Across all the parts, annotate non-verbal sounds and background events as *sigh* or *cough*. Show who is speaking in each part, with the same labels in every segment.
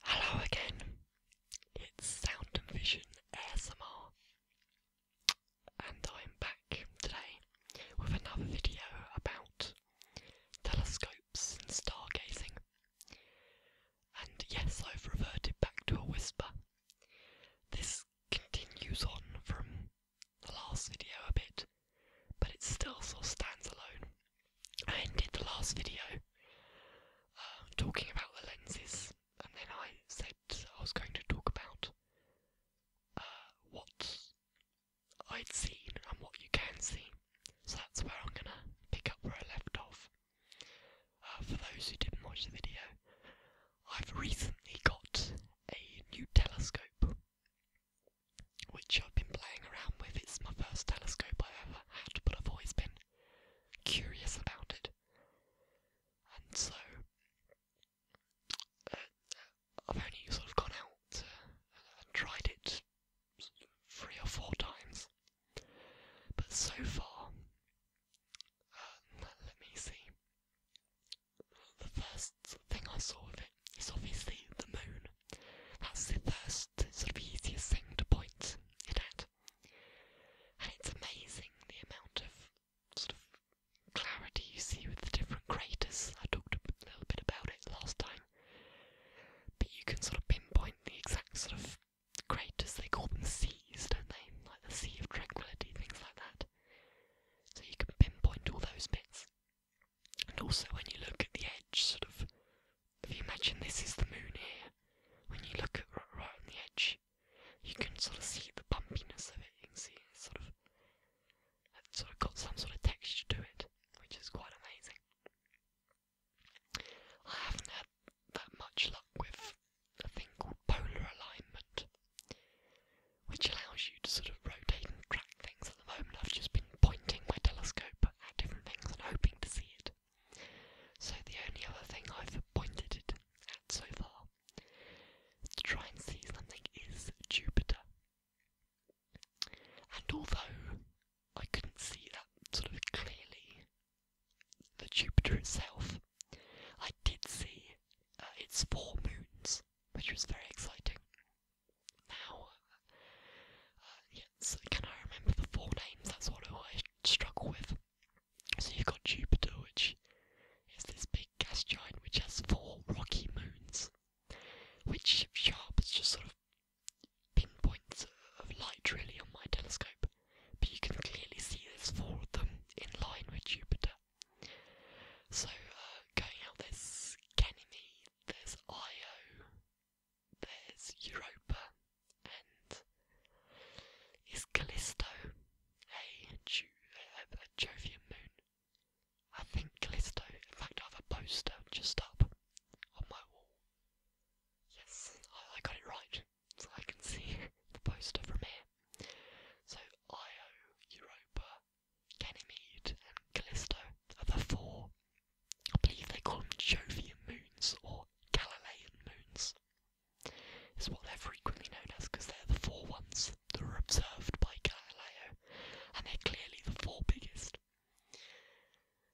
Speaker 1: Hello again. It's Sound and Vision ASMR, and I'm back today with another video about telescopes and stargazing. And yes, I've reverted back to a whisper. This continues on from the last video a bit, but it still sort of stands alone. I ended the last video um, talking about the lenses, and then I said I was going to talk about uh, what I'd seen and what you can see. So that's where I'm going to pick up where I left off. Uh, for those who didn't watch the video, I've recently got a new telescope which I've been playing around with. It's my first telescope I ever had, but I've always been curious about it. And so, uh, I've only sort of gone out and tried it three or four times. But so far, uh, let me see. The first thing I saw of it is obviously the moon. That's the first sort of easiest thing to point at. And it's amazing the amount of sort of clarity you see with the different craters. I talked a little bit about it last time. But you can sort of pinpoint the exact sort of craters. They call them seas, don't they? Like the Sea of Tranquility, things like that. So you can pinpoint all those bits. And also when you look at the edge, sort of if you imagine this is the moon here, when you look at right, on the edge, you can sort of see the bumpiness of it. You can see it's sort of it's sort of got some sort of texture to it, which is quite amazing. I haven't had that much luck with a thing called polar alignment, which allows you to sort of rotate and track things. At the moment, I've just been pointing my telescope at different things and hoping to see it. So the only other thing I've pointed it at so far to try and see something is Jupiter. And although I couldn't see that sort of clearly, the Jupiter itself, I did see uh, its four moons, which was very exciting. Now, uh, planets. Can I remember the four names? That's what I always struggle with. So you've got Jupiter, which is this big gas giant which has four rocky moons, which sharp, sharps just sort of pinpoints of light really on my telescope. But you can clearly see there's four of them in line with Jupiter. So uh, going out, there's Ganymede, there's Io, there's Europa and is Callisto a, Ju- a, Jovian moon? I think Callisto, in fact, I have a poster just up on my wall. Yes, I, I got it right, so I can see the poster from here. So, Io, Europa, Ganymede, and Callisto are the four I believe they call them Jovian moons or Galilean moons. Is what they're frequently known as because they're the four ones that were observed by Galileo, and they're clearly the four biggest.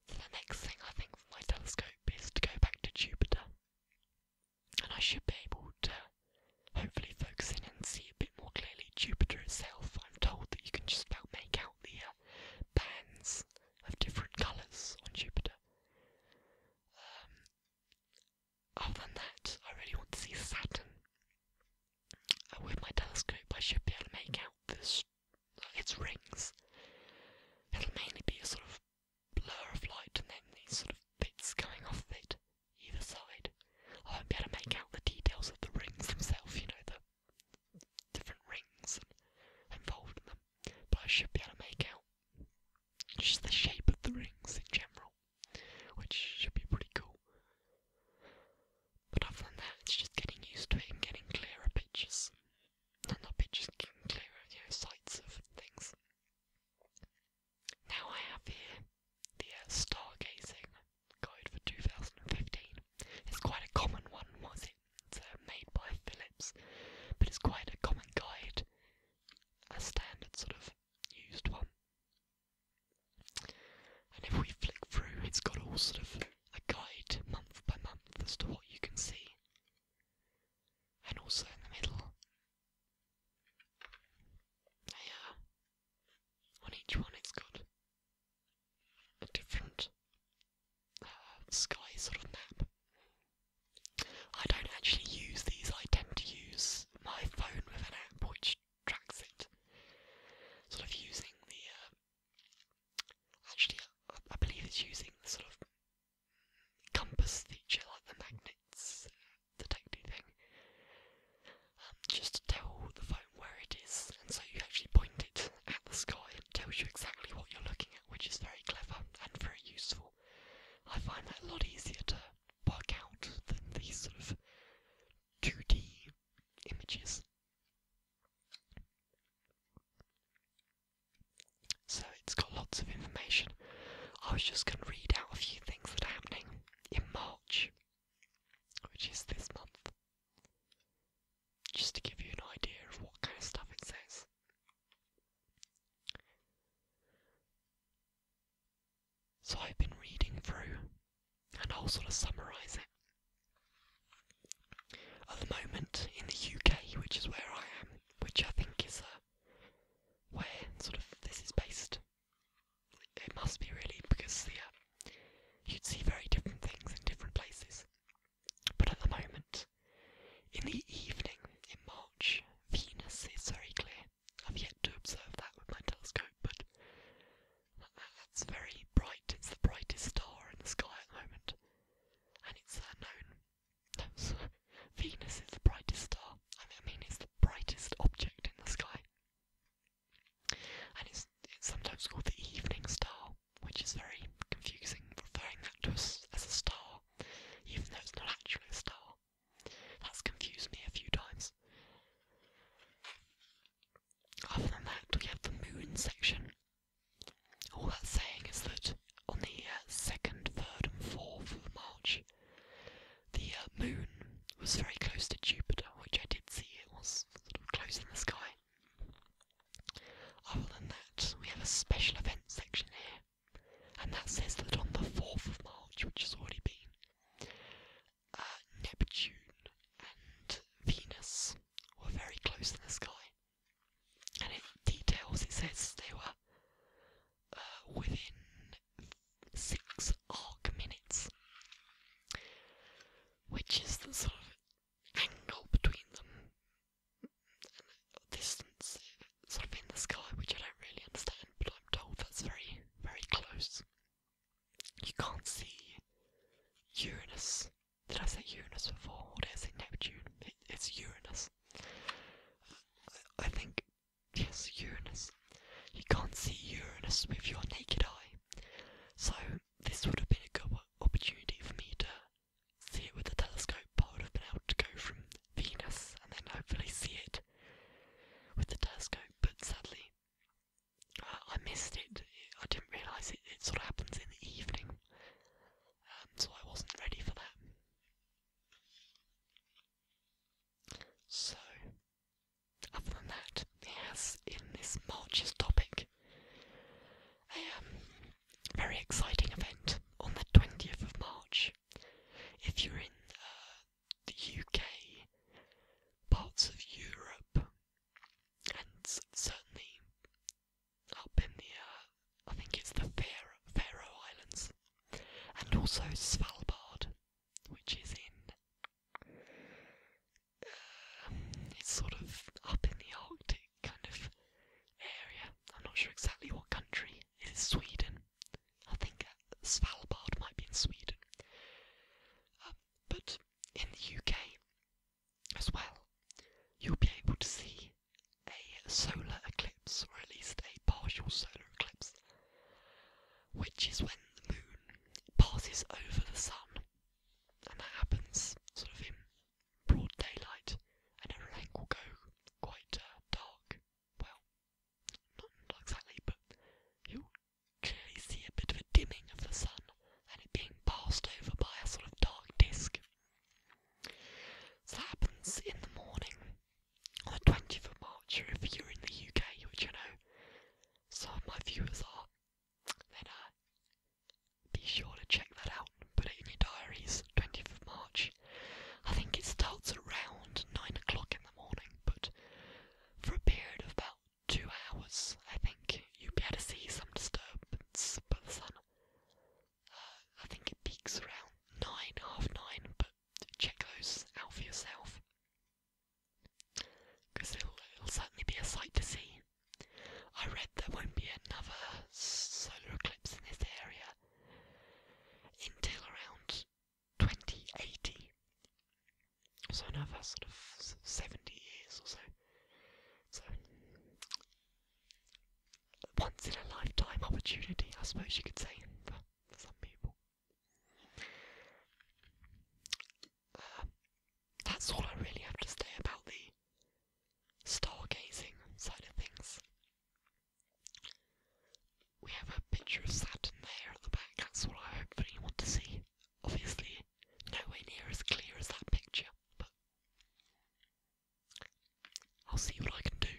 Speaker 1: So the next thing I think for my telescope is to go back to Jupiter, and I should be able to hopefully focus in and see a bit more clearly Jupiter itself. I'm told that you can just about make out the uh, bands of different colours on Jupiter. Um, other than that, I really want to see Saturn. Uh, with my telescope, I should be able to make out this, its rings. It'll mainly be a sort of blur of light and then these sort of bits going off of it, either side. I won't be able to make out the details of the rings themselves, you know, the different rings and involved in them but I should be able to make out just the shape of the rings in general, which should be pretty cool. But other than that, it's just getting used to it and getting clearer pictures. No, not pictures, getting clearer, you know, sights of things. Now I have here the uh, stargazing guide for 2015. It's quite a common one, was it? uh, made by Philips, but it's quite a common guide, a standard sort of used one. And if we flick through, it's got all sort of a guide month by month as to what you can see. And also in the middle, yeah, on each one it's got a different Sky sort of map. I don't actually use these, I tend to use my phone with an app which tracks it. Sort of using the. Uh, actually, I, believe it's using the sort of compass feature, like the magnets uh, detecting thing, um, just to tell the phone where it is, and so you actually point it at the sky and it tells you exactly what you're looking at which is very clever and very useful. I find that a lot easier to work out than these sort of 2D images. So it's got lots of information. I was just going to read out a few things that are happening in March, which is this month, just to give you an idea of what kind of stuff it says. So I've been reading through, and I'll sort of summarise it. At the moment in the UK, which is where I am, which I think is uh, where sort of this is based, it must be really because you'd see very different things in different places. But at the moment, in the evening in March, Venus is very clear. I've yet to observe that with my telescope, but it's very bright. It's the brightest star in the sky at the moment, and it's uh, known. No, sorry. *laughs* Venus is the brightest star. I mean, it's the brightest object in the sky, and it's sometimes called the evening star, which is very confusing, referring that to us as a star even though it's not actually a star. That's confused me a few times. Other than that, we have the moon section. All that's saying is that on the 2nd, uh, 3rd, and 4th of March, the uh, moon was very close to Jupiter, which I did see, it was close in the sky. Other than that, we have a special event section here. And that says that on the 4th of March, which has already been, uh, Neptune and Venus were very close in the sky. And it details, it says they were uh, within six arc minutes, which is the sort of angle between them distance sort of in the sky, which I don't really understand, but I'm told that's very, very close. You can't see Uranus. Did I say Uranus before? Or did I say Neptune? it's Uranus. I think, yes, Uranus. You can't see Uranus with your naked eye. So, this would have been a good opportunity for me to see it with the telescope, I would have been able to go from Venus and then hopefully see it with the telescope, but sadly I missed it. I didn't realise it, it sort of happens in the evening, um, so I wasn't ready for that. So, other than that, he in this March's topic a um, very exciting event on the 20th of March. If you're in uh, the UK, parts of Europe, and certainly up in the, uh, I think it's the Faroe, Islands, and also Svalbard, which is in, uh, it's sort of up in the Arctic, kind of area. I'm not sure exactly what country. It is Sweden. I think uh, Svalbard might be in Sweden. Uh, but in the UK as well, you'll be able to see a solar eclipse, or at least a partial solar eclipse, which is when the moon passes over the sun, and that happens sort of in broad daylight, and everything will go quite uh, dark. Well, not, not exactly, but you'll clearly see a bit of a dimming of the sun and it being passed over by a sort of dark disk. So that happens in the morning on the 20th of March, or if you're in the UK, which I know some of my viewers are, then uh, be sure to check that put it in your diaries, 20th of March. I think it starts around 9 o'clock in the morning, but for a period of about two hours, I think you'll be able to see some disturbance by the sun. Uh, I think it peaks around 9, half 9, but check those out for yourself. Because it'll certainly be a sight to see. I read there won't be another solar eclipse in this area until around 2080. So another sort of 70 years or so. So once in a lifetime opportunity, I suppose you could say, for, some people. Uh, that's all I really have to say about the stargazing side of things. We have a picture of Saturn there at the back, that's what I hopefully want to see. Obviously, nowhere near as clear as that picture, but I'll see what I can do.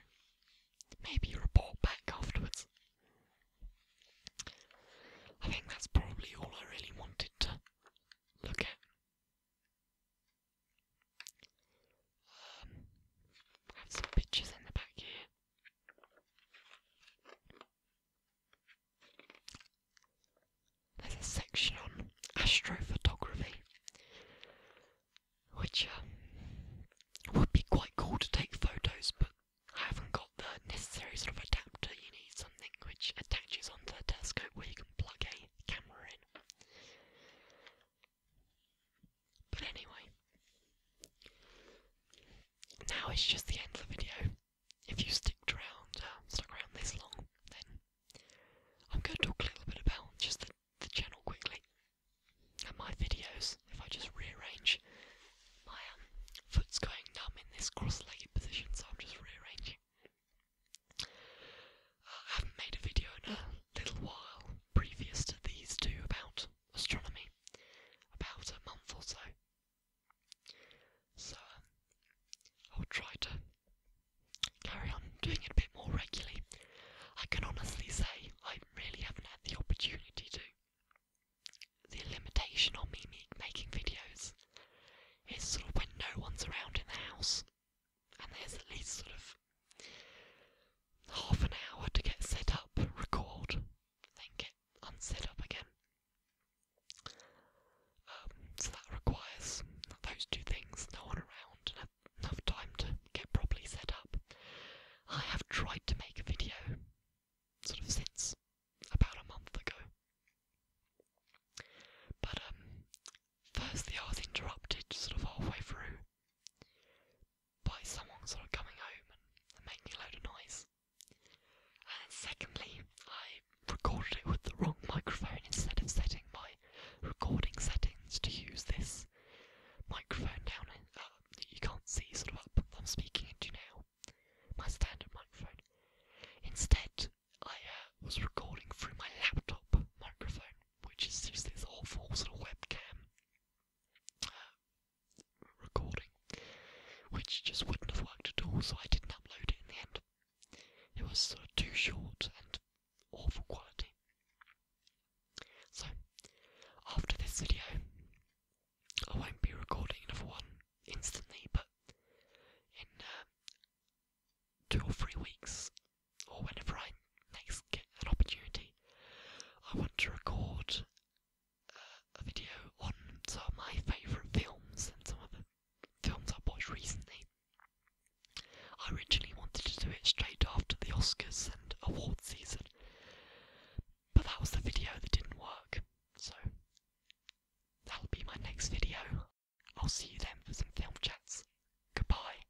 Speaker 1: Maybe you report back afterwards. I think that's probably all I really wanted to look at. I have some pictures in the back here. There's a section on astrophotography, which um, would be quite cool to take photos, but I haven't got the necessary sort of adapter. You need something which attaches onto the telescope where you can plug a camera in. But anyway, now it's just the end of the video. If you sticked around, uh, stuck around this long, then I'm going to talk a little bit about just the, channel quickly and my videos. If I just rearrange, my um, foot's going numb in this cross-legged position, so I'm just rearranging. Uh, I haven't made a video in a little while previous to these two about astronomy, about a month or so. So I'll try to carry on doing it a bit more regularly. I can honestly say I really haven't had the opportunity to. The limitation on me making videos is sort of when no one's around in the house, and there's at least sort of half an hour to get set up, record, then get unset up again. Um, so that requires those two things, no one around and enough time to get properly set up. I have tried to make a video sort of since about a month ago. But um, first the I interrupted sort of halfway through by someone sort of coming home and, making a load of noise. And secondly, I recorded it with the wrong microphone instead of setting my recording settings to use this microphone down in, uh, you can't see sort of up I'm speaking into now, my standard microphone. Instead, I uh, was recording through my laptop microphone, which is just this awful little webcam recording, which just wouldn't have worked at all, so I didn't upload it in the end. It was too short and awful quality. So, after this video, I won't be recording another one instantly, but in uh, two or three weeks, or whenever I next get an opportunity, I want to record uh, a video on some of my favourite films and some of the films I've watched recently. I originally wanted to do it straight after the Oscars and awards season, but that was the video that didn't work, so that'll be my next video. I'll see you then for some film chats. Goodbye.